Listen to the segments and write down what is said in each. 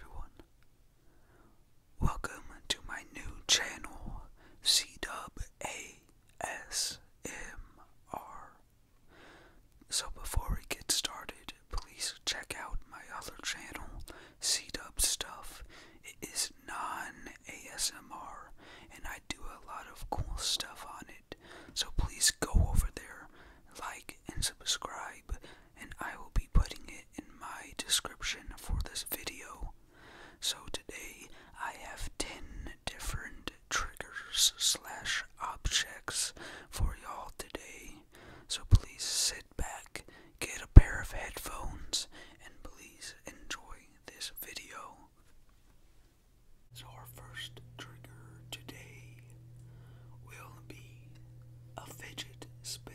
everyone. Welcome to my new channel, CWASMR. So before we get started, please check out my other channel, C Dub Stuff. It is non-ASMR, and I do a lot of cool stuff on it. So please go over there, like and subscribe, and I will be putting it in my description for this video. So today I have 10 different triggers slash objects for y'all today. So please sit back, get a pair of headphones, and please enjoy this video. So our first trigger today will be a fidget spinner.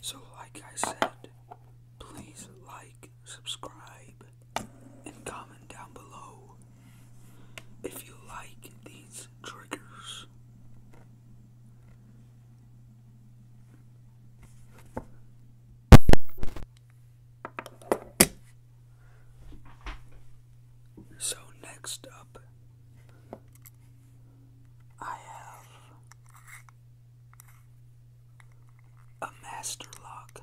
So, like I said, please like, subscribe, and comment down below if you like these triggers. So, next up, I have a master lock.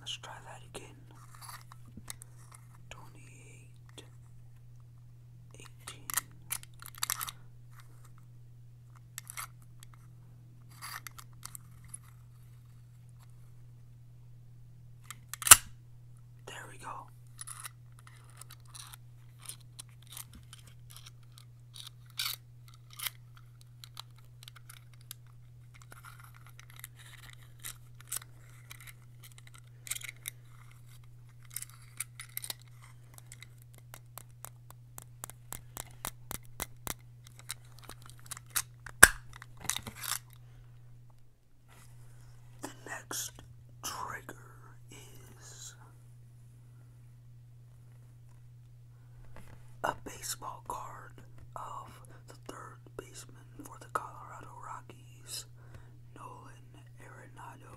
Let's try that again. Twenty eight, eighteen. There we go. The next trigger is a baseball card of the third baseman for the Colorado Rockies, Nolan Arenado.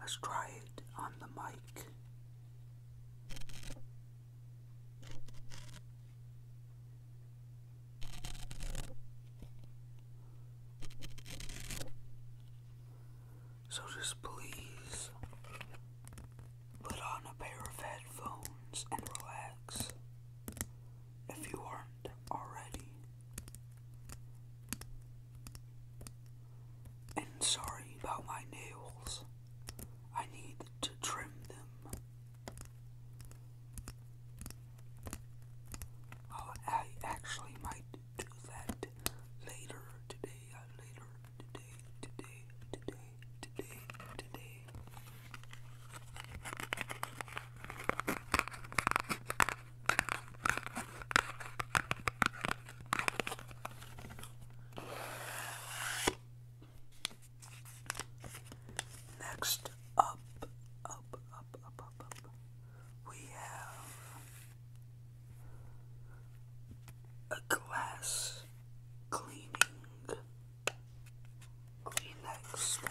Let's try it on the mic. So just please put on a pair of headphones and relax if you aren't already. And sorry about my nails. I need to trim them. Oh, I actually might do that later today, uh, later today, today, today. Next up, up, up, up, up, we have a glass cleaning Green like spring.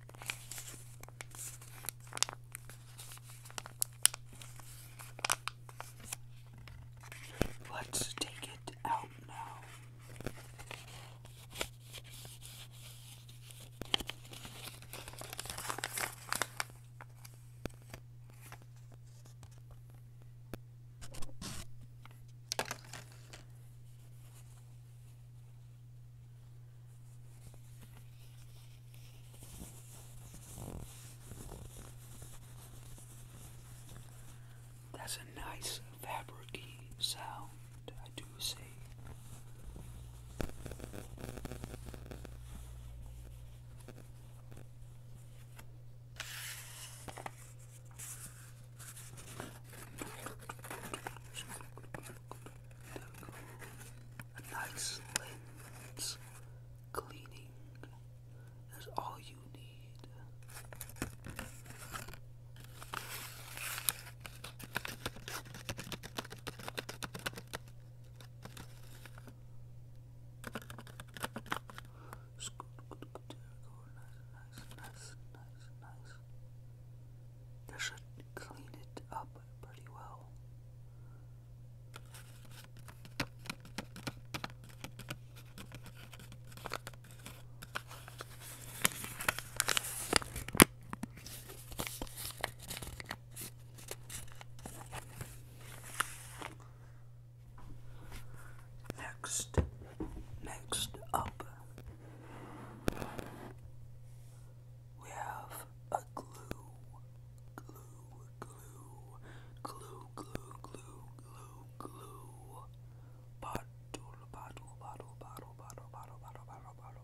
Let's take it out now. That's a nice fabricy sound, I do say. A nice lens cleaning is all you need. Nice, nice, nice, nice. This should clean it up pretty well. Next, next up we have a glue, glue, glue, glue, glue, glue, glue, glue, bottle, bottle, bottle, bottle, bottle, bottle, bottle, bottle, bottle.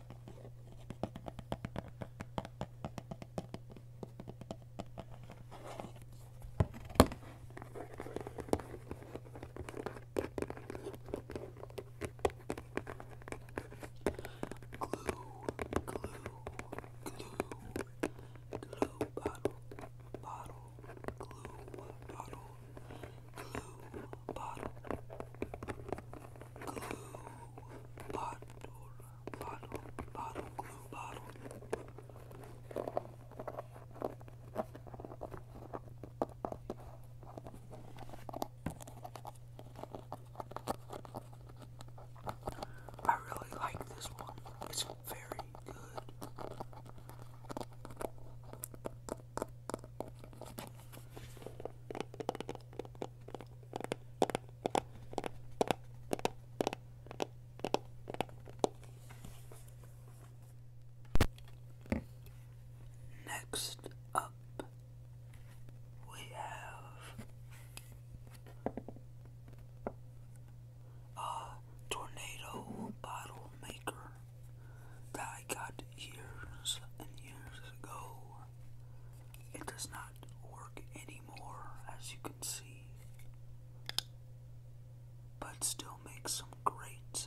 Glue, glue, glue, glue bottle, bottle, glue bottle, glue bottle, bottle, bottle, bottle, glue bottle. I really like this one. It's very good. Next up, we have a tornado bottle maker that I got years and years ago. It does not work anymore, as you can see, but still makes some great sounds.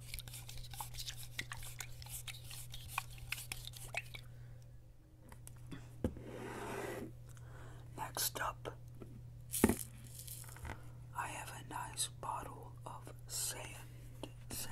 Next up, I have a nice bottle of sand. Sand.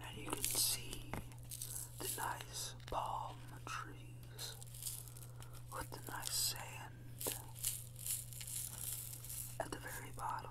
And you can see the nice palm trees with the nice sand at the very bottom.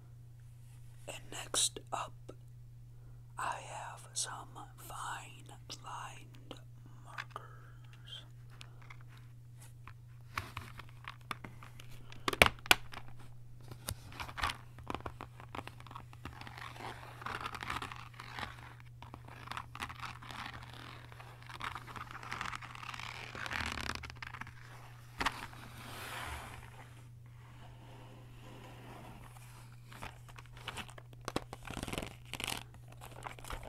And next up, I have some fine lined markers.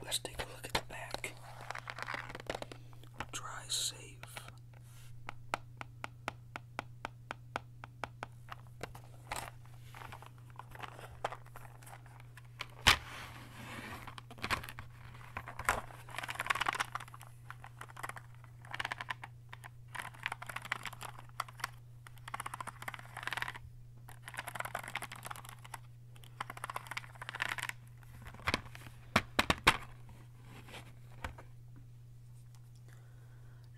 Let's take a look at the back. Try safe.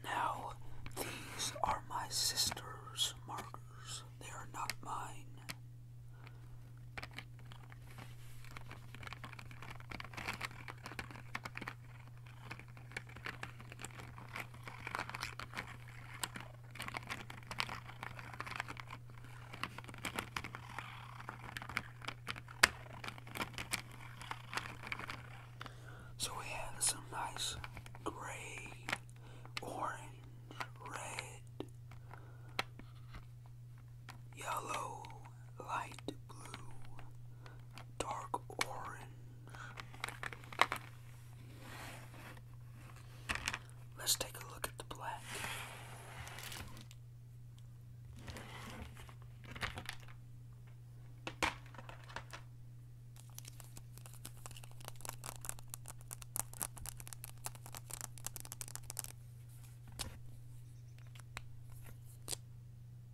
Now, these are my sister's markers. They are not mine. So we have some nice gray, orange, red, yellow, light blue, dark orange. Let's take a look at the black.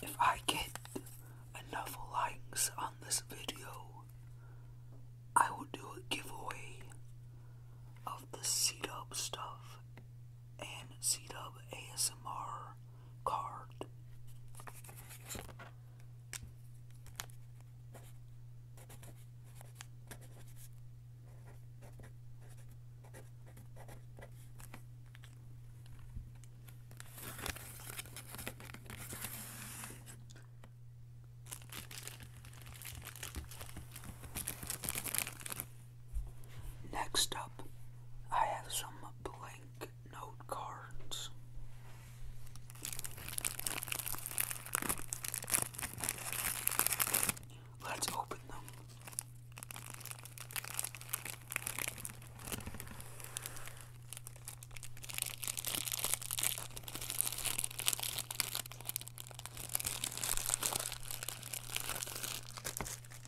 If I get enough likes on this video, I will do a giveaway of the C-Dub stuff and C-Dub ASMR card. Next up, I have some blank note cards. Let's open them.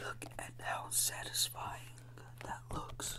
Look at how satisfying that looks.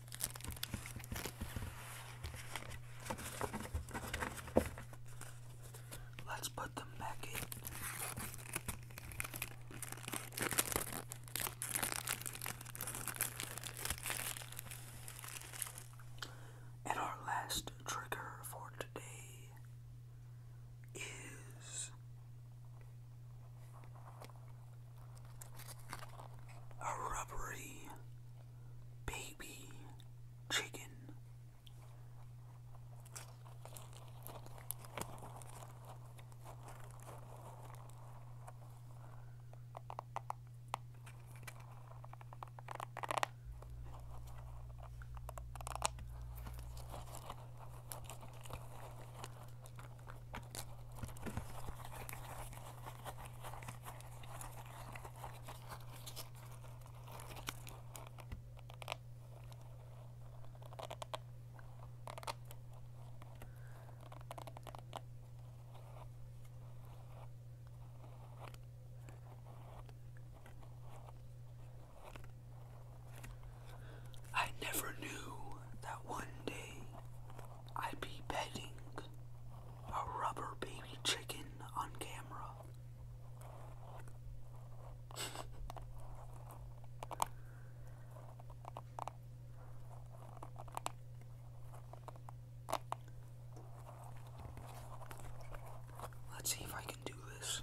Let's put them back in. And our last trigger for today is a rubbery baby chicken. I never knew that one day I'd be petting a rubber baby chicken on camera. Let's see if I can do this.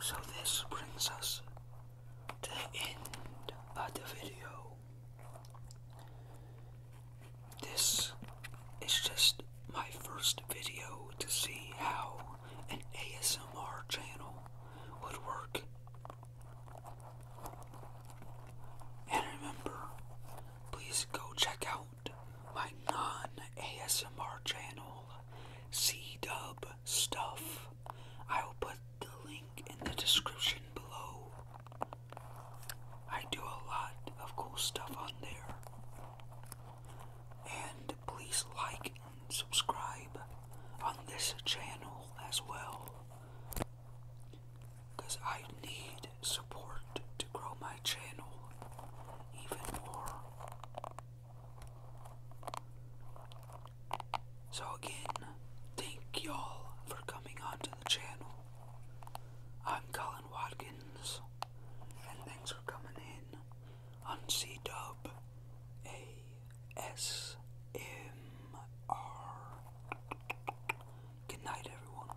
So this brings us to the end of the video. This is just my first video to see how an ASMR channel would work. And remember, please go check out my non ASMR channel, C Dub Stuff. I will put the link in the description below. I do a lot of cool stuff on there. And please like and subscribe on this channel as well. Because I need support to grow my channel even more. So, again, thank y'all for coming onto the channel. I'm Colin Watkins, and thanks for coming in on C Dub Good night, everyone.